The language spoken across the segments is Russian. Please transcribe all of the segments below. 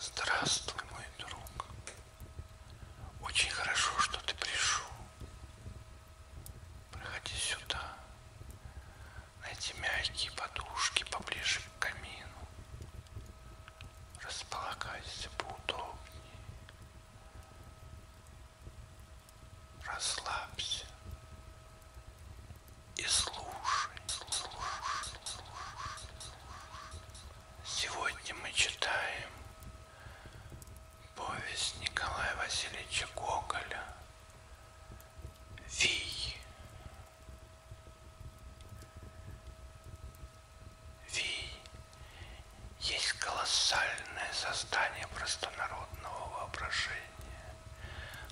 Здравствуй, мой друг. Очень хорошо, что ты пришел. Проходи сюда. Найди мягкие подушки поближе к камину. Располагайся поудобнее. Расслабься и слушай, слушай, слушай. Сегодня мы читаем повесть Николая Васильевича Гоголя «Вий». Вий есть колоссальное создание простонародного воображения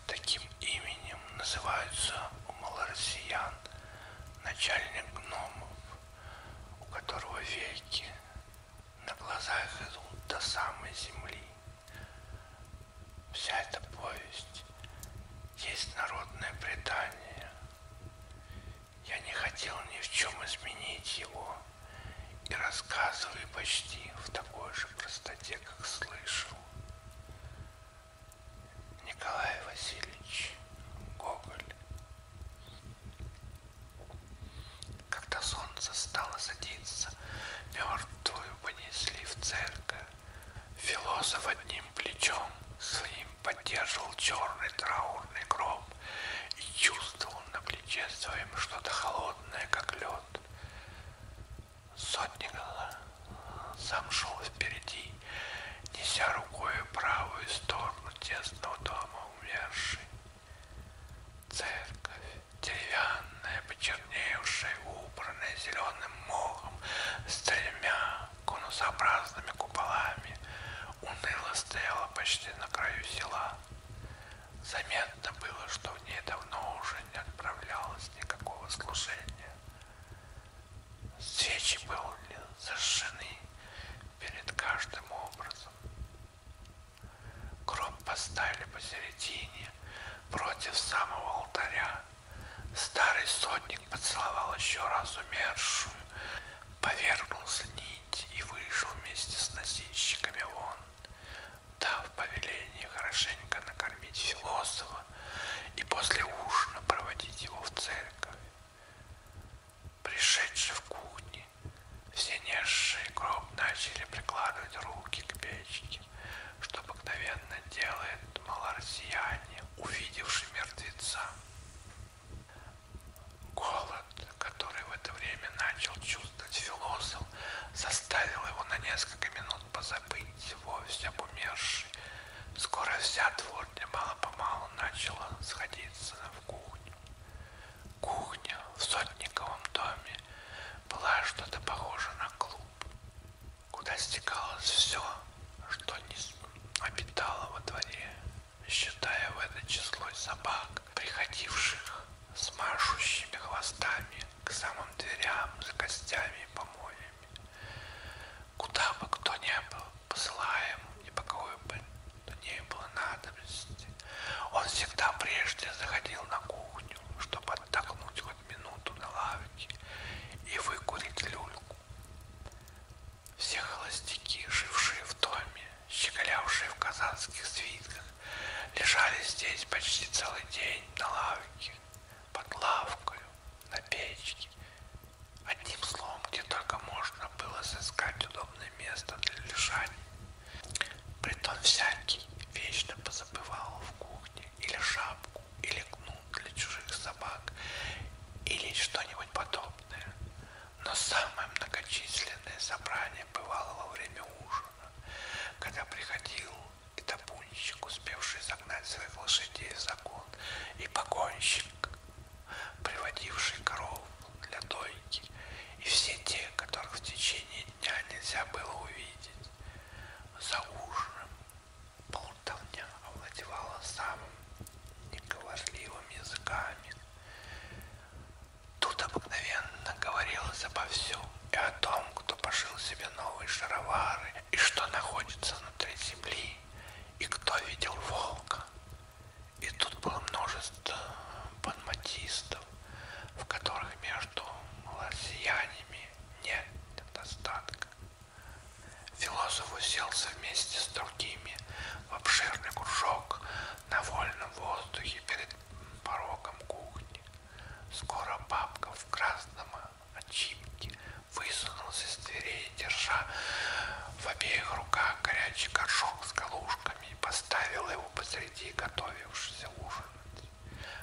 Таким именем называются у малороссиян начальник гномов, у которого веки на глазах идут до самой земли. Вся эта повесть есть народное предание. Я не хотел ни в чем изменить его и рассказываю почти в такой же простоте, как слышал. Николай Васильевич Гоголь. Когда солнце стало садиться, мертвую понесли в церковь. Философ одним плечом своим поддерживал черный траурный гроб и чувствовал на плече своем что-то холодное, как лед. Сотник замшел впереди, неся рукой правую сторону тесного дома умершей. Церковь, деревянная, почерневшая, убранная зеленым мохом, с тремя конусообразными куполами, уныло стояла почти на краю села. Заметно было, что в ней давно уже не отправлялось никакого служения. Свечи были зажжены перед каждым образом. Гроб поставили посередине, против самого алтаря. Старый сотник поцеловал еще раз умершую, повергнулся нить и вышел вместе с носильщиками вон дав повеление хорошенько накормить философа и после ужина проводить его в церковь. Пришедшие в кухне, все несшие гроб начали прикладывать руки к печке, что обыкновенно делает малороссияне, увидевший мертвеца. Голод, который в это время начал чувствовать философ, заставил заставил его на несколько минут позабыть вовсе об умершей. Скоро вся дворня мало-помалу начала сходиться в кухню. Кухня в сотниковом доме была что-то похоже на клуб, куда стекалось все, что не обитало во дворе, считая в это число собак, приходивших с машущими хвостами к самым дверям за костями и помоями. Куда бы кто ни был посылаем и по какой бы то ни было надобности, он всегда прежде заходил на кухню, чтобы отдохнуть хоть минуту на лавке и выкурить люльку. Все холостяки, жившие в доме, щеголявшие в казанских свитках Лежали здесь почти целый день на лавке, под лавкою, на печке. Одним словом, где только можно было сыскать удобное место для лежания. Притом всякий вечно позабывал в кухне или шапку, или кнут для чужих собак, или что-нибудь подобное. Но самое многочисленное собрание бывало во время ужина когда приходил и табунщик, успевший загнать своих лошадей за кон, и погонщик, приводивший коров для дойки, и все те, которых в течение дня нельзя было увидеть. За ужином болтовня овладевала самым неговорливым языками, Тут обыкновенно говорилось обо всем и о том, кто пошил себе новые шаровары, и что находится внутри земли, и кто видел волка. И тут было множество панматистов, в которых между лосьянами нет недостатка. Философ уселся вместе с другими в обширный кружок на вольном воздухе перед порогом кухни. Скоро бабка в красном очипке высунулась из дверей, держа в обеих руках горячий горшок с галушками и поставила его посреди готовившегося ужинать.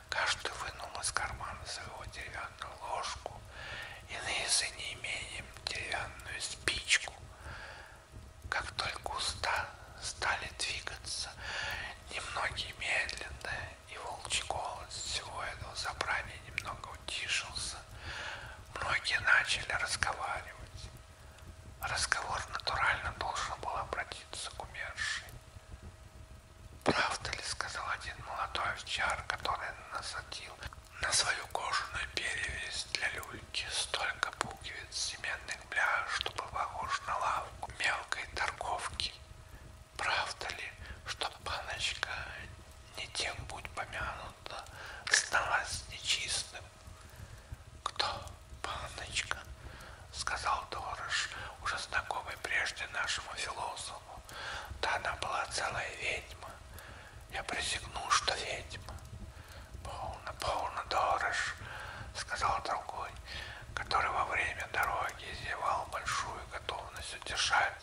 Каждый вынул из кармана своего деревянную ложку, иные за неимением деревянную спичку, как только уста стали двигаться, немногие медленно, и волчий голос всего этого собрания немного утишился, многие начали разговаривать. Разговор натурально должен был обратиться к умершей. «Правда ли, — сказал один молодой овчар, который насадил на свою кожаную перевязь для люльки столько пуговиц семенной Кремля, что был похож на лавку мелкой торговки. Правда ли, что баночка не тем будь помянута, сталась нечистым? Кто баночка? Сказал Дорож, уже знакомый прежде нашему философу. Да она была целая ведьма. Я присягнул, что ведьма. «Полно, полно, Дорож», — сказал другой, который во время дороги изъявал большую готовность утешать.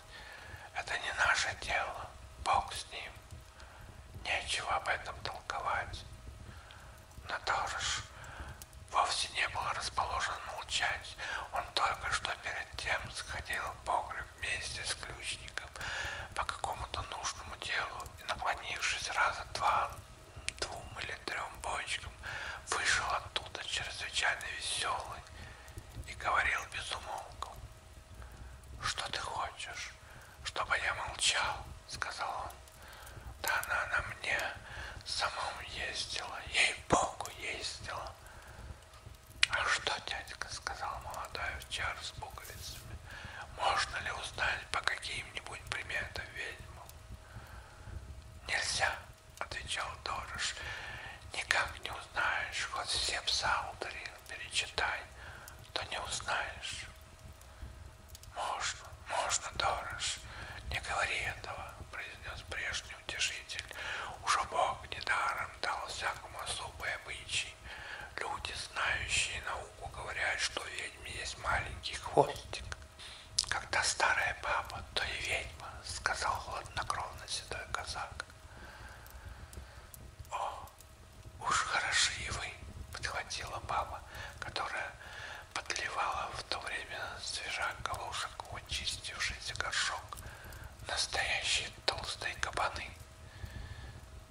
«Это не наше дело, Бог с ним. Нечего об этом толковать». Но Дорож вовсе не был расположен молчать. Он только что перед тем сходил в погреб вместе с ключником по какому-то нужному делу и, наклонившись раза два, двум или трем бочкам, вышел оттуда чрезвычайно веселый и говорил без умолку. «Что ты хочешь, чтобы я молчал?» — сказал он. «Да она на мне самом ездила, ей-богу, ездила!» «А что, дядька?» — сказал молодая овчара с пуговицами. Можно ли узнать по каким-нибудь приметам ведьму? Нельзя, отвечал Дорож. Никак не узнаешь, хоть все пса ударил, перечитай, то не узнаешь. Можно, можно, Дорож, не говори этого, произнес прежний утешитель. Уж Бог недаром дал всякому особые обычаи. Люди, знающие науку, науку говорят, что у ведьмы есть маленький хвостик. Когда старая баба, то и ведьма, сказал хладнокровно седой казак. О, уж хороши и вы, подхватила баба, которая подливала в то время свежак галушек в очистившийся горшок. Настоящие толстые кабаны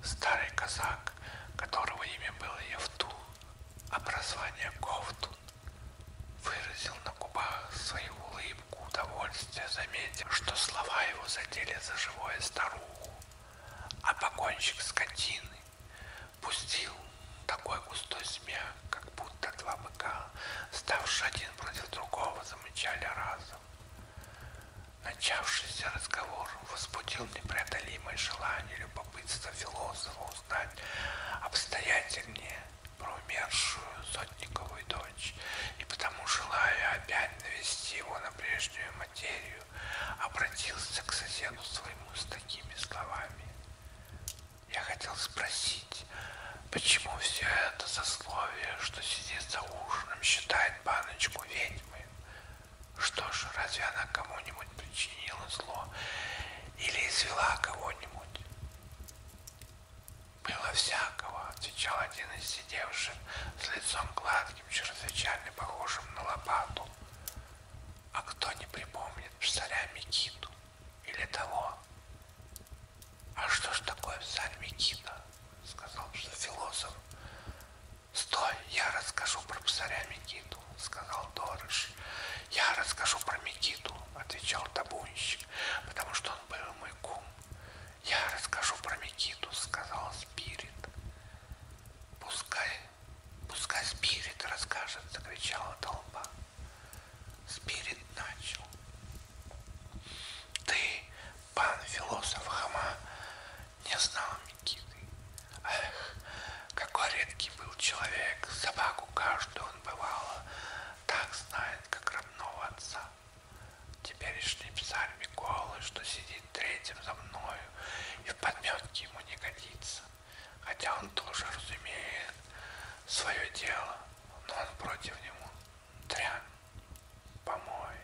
старый казак, которого имя было Евтун, а прозвание Ковтун, выразил на губах свою улыбку удовольствия, заметив, что слова его задели за живое старуху, а погонщик скотины пустил такой густой смех, как будто два быка, ставшие один против другого, замычали разом. Начавшийся разговор возбудил непреодолимое желание любопытства философа узнать обстоятельнее про умершую Сотникову дочь, и потому, желая опять навести его на прежнюю материю, обратился к соседу своему с такими словами. Я хотел спросить, почему все это сословие, что сидит за ужином, считает баночку ведьмой, что ж, разве она кому-нибудь причинила зло или извела кого-нибудь? Было всякого, отвечал один из сидевших с лицом гладким, чрезвычайно похожим на лопату. А кто не припомнит псаря Микиту или того? А что ж такое псарь Микита? Сказал что философ. «Стой, я расскажу про псаря Микиту», — сказал Дорыш. «Я расскажу про Микиту», — отвечал табунщик, — «потому что он был мой кум». «Я расскажу про Микиту», — сказал Спирит. «Пускай, пускай Спирит расскажет», — закричала толпа. Спирит начал. «Ты, пан философ Хама, не знал Никиты. Эх, какой редкий был человек, собаку каждую он бывало, так знает, как родного отца. Теперешний псарь Миколы, что сидит третьим за мною, и в подметке ему не годится, хотя он тоже разумеет свое дело, но он против него дрянь, помой.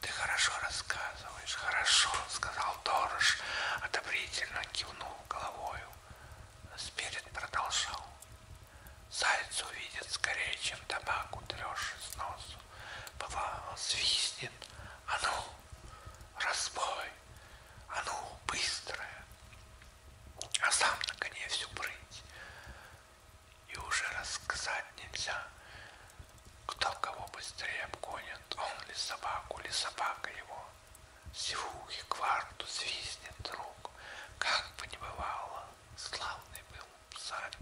Ты хорошо рассказываешь, хорошо, сказал Дорож, одобрительно кивнул головою. Спирит продолжал. Заяц увидит скорее, чем табак утрешь из носу. Бывало, свистнет. А ну, разбой, а ну, быстрое. А сам на коне всю прыть и уже рассказать нельзя, кто кого быстрее обгонит, он ли собаку, ли собака его. Сивухи кварту свистнет друг, как бы ни бывало, славный был царь.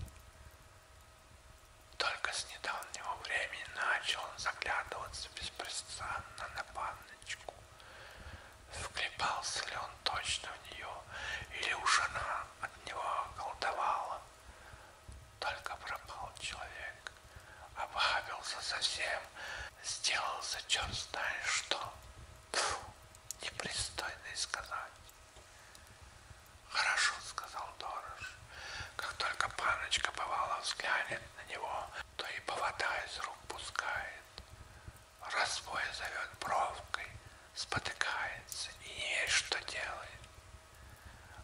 Только с недавнего времени начал он заглядываться беспрестанно на панночку. Вклепался ли он точно в нее, или уж она от него колдовала. Только пропал человек, обхабился совсем, сделался черт знает что. Фу, непристойно и сказать. Хорошо, сказал Дорож. Как только паночка бывала взглянет на него, то и повода из рук пускает. Разбой зовет бровкой, спотыкается и не есть, что делает.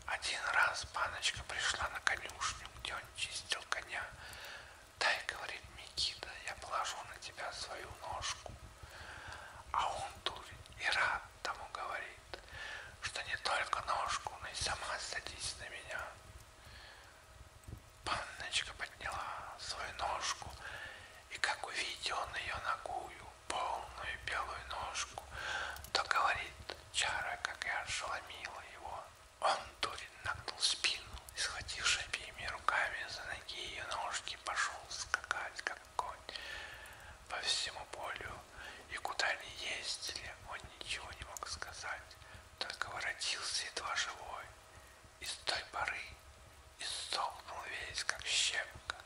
Один раз паночка пришла на конюшню, где он чистил коня. Дай, говорит Микита, я положу на тебя свою ножку. А он, дурень, и рад тому говорит, что не только ножку, но и сама садись на меня. Панночка подняла свою ножку, и как увидел он ее ногую, полную белую ножку, то говорит чара, как я ошеломила его. Он дурит нагнул спину и, схвативши обеими руками за ноги ее ножки, пошел скакать, как конь, по всему полю. И куда ни ездили, он ничего не мог сказать, только воротился едва живой. И с той поры и столкнул весь, как щепка.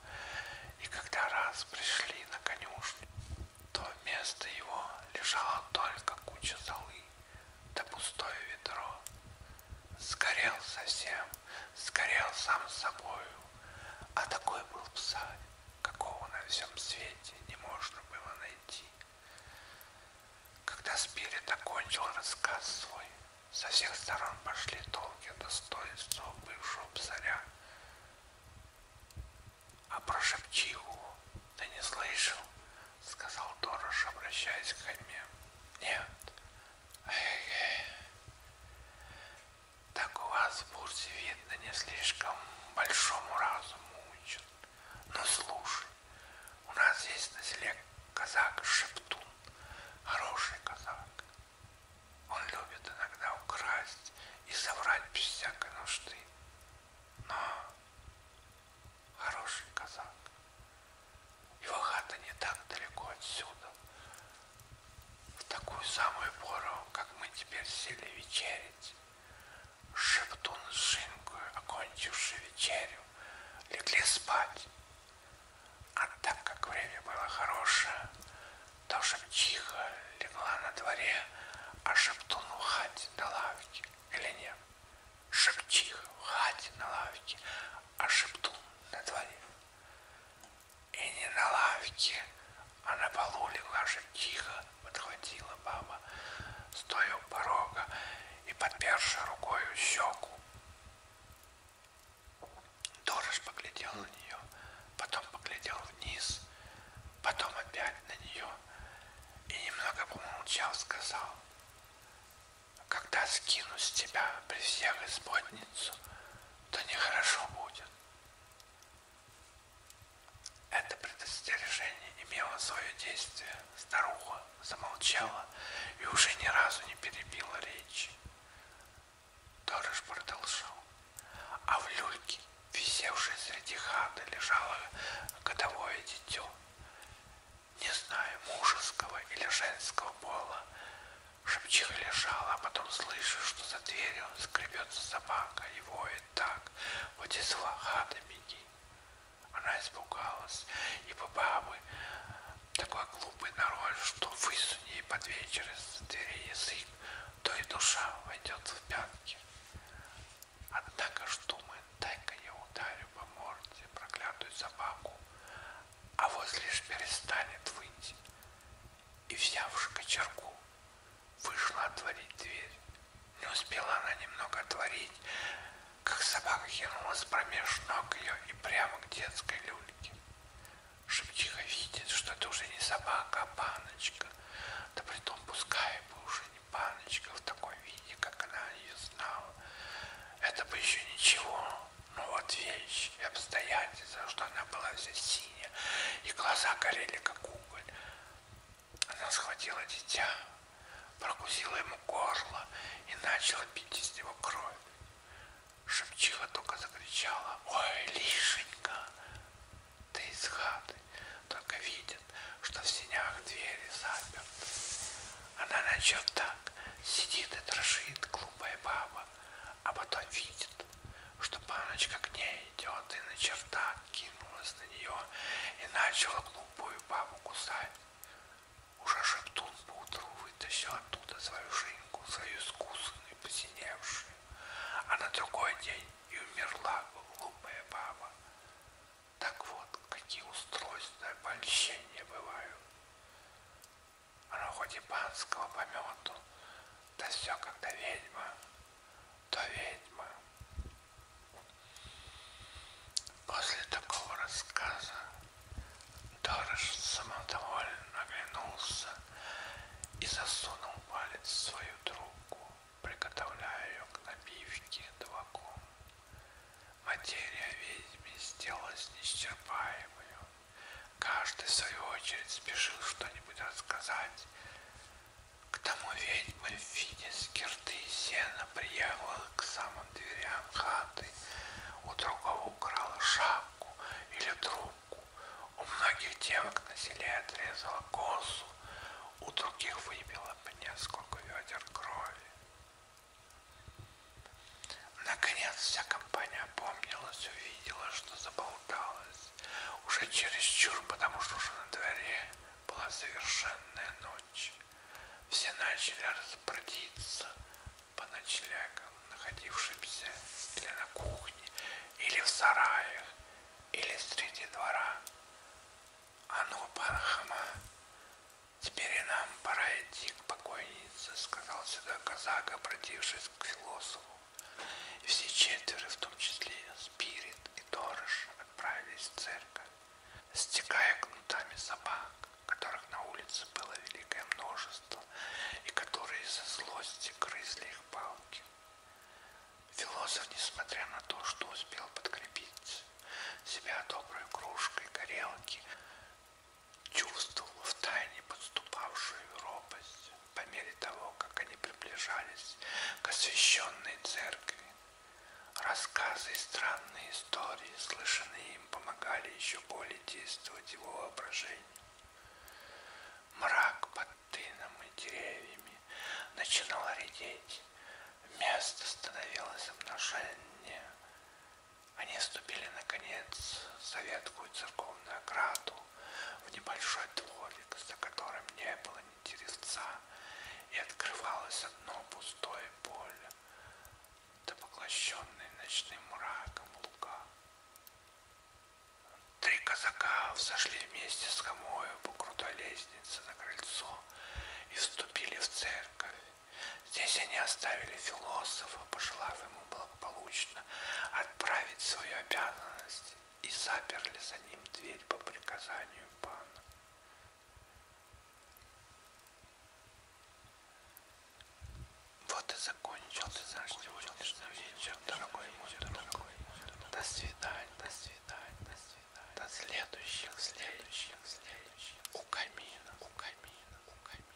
И когда раз пришли на конюшню, то вместо его лежала только куча золы да пустое ведро. Сгорел совсем, сгорел сам собою, а такой был псарь, какого на всем свете не можно было найти. Когда Спирит окончил рассказ свой, со всех сторон пошли толки о достоинстве бывшего царя. А про Шепчиху ты не слышал? Сказал Дорош, обращаясь к Хайме. Нет. Эх, так у вас в Бурсе видно не слишком большому разуму учат. Но ну, слушай, у нас есть на селе казак Шептун, хороший казак. Он любит иногда украсть и соврать без всякой нужды. Но хороший казак. Его хата не так далеко отсюда. В такую самую пору, как мы теперь сели вечерить, Шептун с Жинкою, окончивши вечерю, легли спать, а так как время было хорошее, то шепчиха легла на дворе, а шептун в хате на лавке. Или нет? Шепчиха в хате на лавке, а шептун на дворе. И не на лавке, а на полу легла шептиха, подхватила баба, стоя у порога и подперши рукою щеку. Дорож поглядел на нее, потом поглядел вниз, потом опять на нее и немного помолчал, сказал, «Когда скину с тебя при всех исподницу, то нехорошо будет». Это предостережение имело свое действие. Старуха замолчала и уже ни разу не перебила речь. Торож продолжал. А в люльке, висевшей среди хаты, лежало годовое дитё. Не знаю, мужеского или женского пола. Шепчиха лежала, а потом слышу, что за дверью скребется собака и воет так. Вот из хаты беги. Она испугалась, ибо бабы такой глупый народ, что высуни под вечер из двери язык, то и душа войдет в пятки. Однако штумы, дай-ка я ударю по морде проклятую собаку, а вот лишь перестанет выйти. И, взявши кочерку, вышла отворить дверь. Не успела она немного отворить, как собака кинулась промеж ног ее и прямо к детской люльке. Шепчиха видит, что это уже не собака, а паночка. Да притом пускай бы уже не паночка в таком виде, как она ее знала. Это бы еще ничего, но ну вот вещь и обстоятельства, что она была вся синяя, и глаза горели, как уголь. Она схватила дитя, прокусила ему горло и начала пить из него кровь. Шепчиха только закричала, ой, Лишенька, ты из хаты, только видит, что в синях двери заперты. Она начнет так, сидит и дрожит, глупая баба, а потом видит, что паночка к ней идет и на чердак кинулась на нее и начала глупую бабу кусать. Уже шептун поутру вытащил оттуда свою шинку, свою искусанную, посиневшую. А на другой день и умерла глупая баба. Так вот, какие устройства и обольщения бывают. Оно хоть и панского помету, да все когда ведьма, то ведьма. После такого рассказа Тарыш самодовольно оглянулся и засунул палец в свою трубку, приготовляя ее к набивке табаком. Материя ведьми сделалась неисчерпаемою. Каждый, в свою очередь, спешил что-нибудь рассказать. К тому ведьма в виде скирты и сена приехала к самому он дверям хаты, у другого украла шапку или трубку, у многих девок на селе отрезала косу, у других выбила по несколько ведер крови. Наконец вся компания опомнилась, увидела, что заболталась. Уже чересчур, потому что уже на дворе была совершенная ночь. Все начали распродиться по ночлегам, находившимся или на кухне, или в сараях, или среди двора. А ну, пан Хама, теперь и нам пора идти к покойнице, сказал сюда казак, обратившись к философу. И все четверо, в том числе Спирит и Торыш, отправились в церковь, стекая кнутами собак которых на улице было великое множество, и которые из-за злости грызли их палки. Философ, несмотря на то, что успел подкрепить себя доброй кружкой горелки, чувствовал в тайне подступавшую робость по мере того, как они приближались к освященной церкви, Рассказы и странные истории, слышанные им, помогали еще более действовать его воображению. Мрак под тыном и деревьями начинал редеть, место становилось обнаженнее. Они ступили, наконец, за веткую церковную ограду в небольшой дворик, за которым не было ни деревца, и открывалось одно пустое поле да поглощенные ночным мраком луга. Три казака взошли вместе с Хамою по крутой лестнице на крыльцо и вступили в церковь. Здесь они оставили философа, пожелав ему благополучно отправить свою обязанность и заперли за ним дверь по приказанию пана. Вот и закончился наш сегодняшний вечер, дорогой мой друг. До свидания, до свидания, до свидания. До следующих, следующих, следующих. У камина, у камина, у камина.